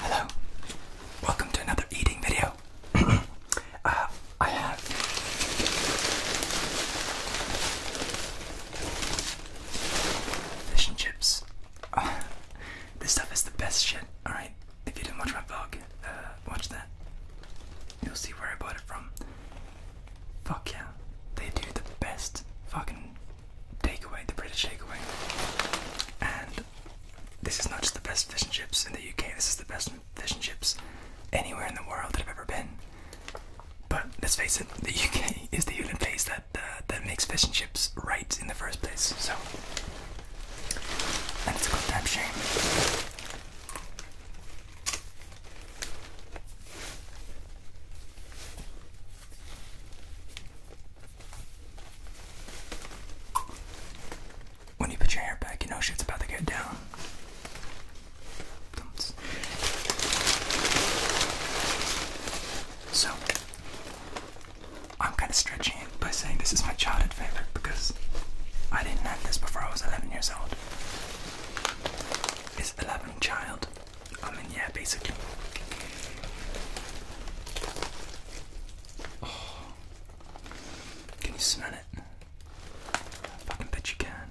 Hello, welcome to another eating video. Uh, I have fish and chips. this stuff is the best shit. All right, if you didn't watch my vlog, uh, watch that. You'll see where I bought it from. Fuck yeah. They do the best fucking takeaway, the British takeaway. And this is not just the best fish and chips in the UK, this is the best fish and chips anywhere in the world that I've ever been. But let's face it, the UK is the only place that uh, that makes fish and chips right in the first place. So, and it's a goddamn shame. When you put your hair back, you know shit's about to get down. So, I'm kind of stretching it by saying this is my childhood favorite because I didn't have this before I was 11 years old is 11 child. I mean, yeah, basically. Oh. can you smell it? I fucking bet you can.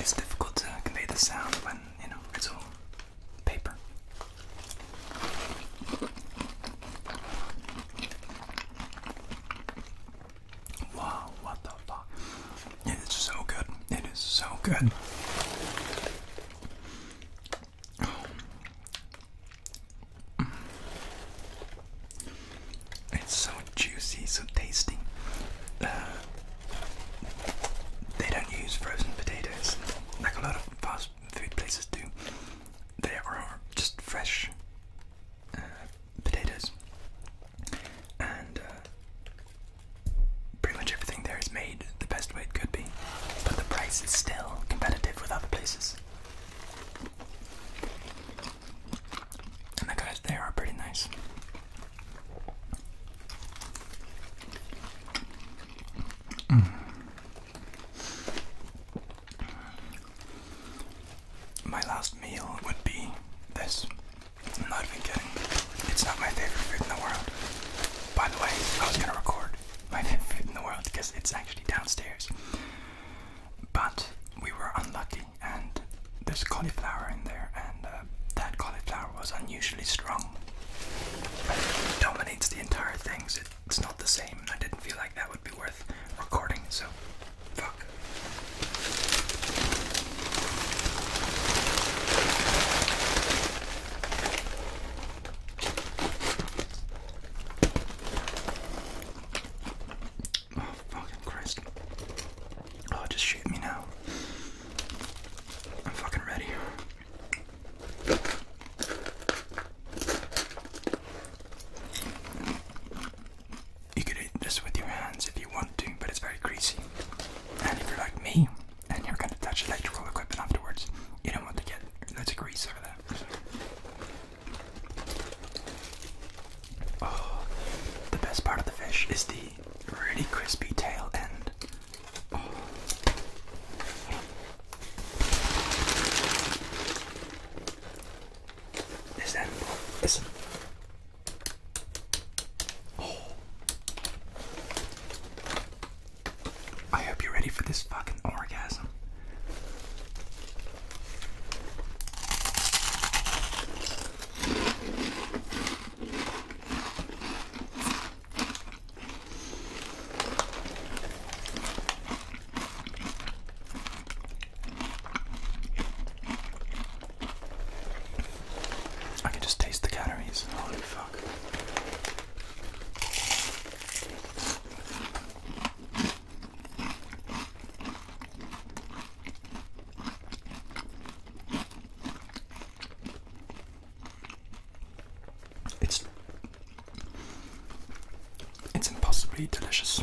It's difficult to convey the sound when, you know, it's all paper. Wow, what the fuck? It is so good. It is so good. It's so juicy, so tasty. Uh, they don't use frozen potatoes like a lot of fast food places do. They are just fresh uh, potatoes, and uh, pretty much everything there is made the best way it could be. But the price is still competitive with other places. And the guys there are pretty nice. Mm. My last meal would be this. i not even kidding. It's not my favorite food in the world. By the way, I was gonna record my favorite food in the world because it's actually downstairs but we were unlucky and there's cauliflower in there and uh, that cauliflower was unusually strong. It dominates the entire thing, it's not the same I didn't feel like that would be worth recording, so fuck. Oh, fucking Christ. Oh, just shoot me now. I'm fucking ready. You could eat this with your hands if you want to, but it's very greasy. And if you're like me, and you're going to touch electrical equipment afterwards, you don't want to get loads of grease over there. Oh, the best part of the fish is the really crispy tail end. Oh. Is that Oh. I hope you're ready for this fucking orgasm. I can just taste the calories. Holy fuck. It's it's impossibly delicious.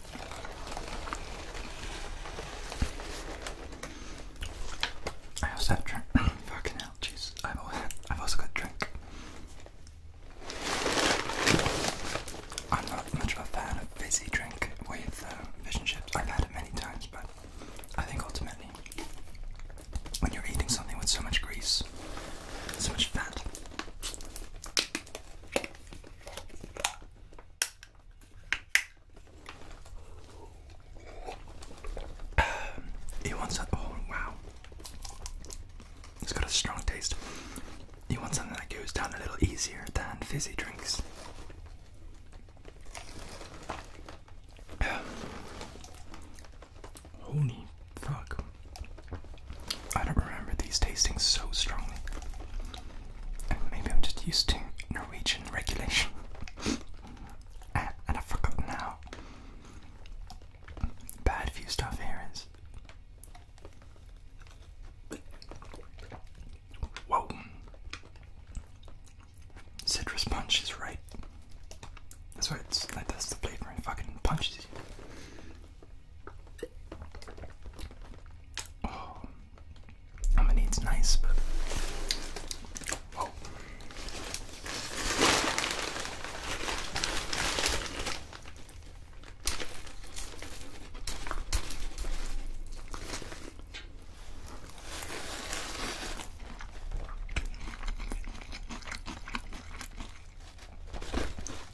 I also had drink. Fucking hell, jeez. I've also, I've got drink. I'm not much of a fan of fizzy drink with uh, fish and chips. I've had it many times, but I think ultimately, when you're eating something with so much grease, so much fat, he wants that. Oh wow, it's got a strong taste. You want something that goes down a little easier than fizzy drinks. Holy fuck! I don't remember these tasting so strongly. Maybe I'm just used to Norwegian regulation. and I've forgotten bad view stuff here is. Whoa. Citrus punch is right. That's what that's the flavor fucking punches Oh, I mean it's nice, but oh.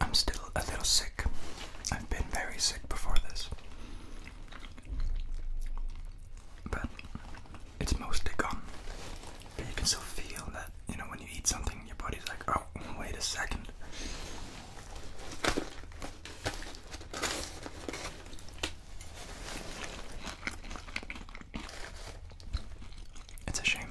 I'm still a little sick. I've been very sick before this. But it's mostly gone. But you can still feel that, you know, when you eat something, your body's like, oh, wait a second. It's a shame.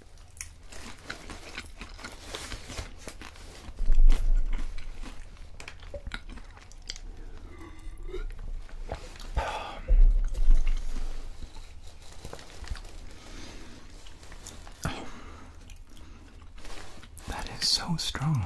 That is so strong.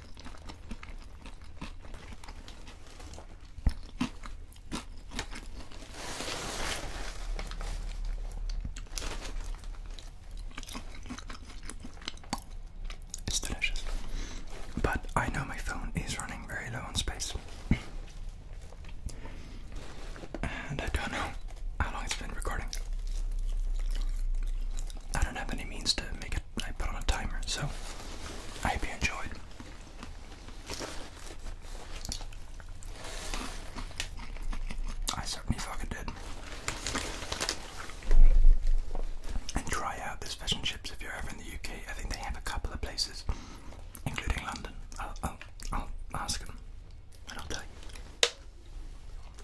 It's delicious. But I know my phone is running very low on space. and I don't know how long it's been recording. I don't have any means to make it. I put on a timer, so I hope you enjoyed. I certainly fucking did. And try out this fish and chips if you're ever in the UK. I think they have a couple of places, including London. I'll, I'll ask them and I'll tell you.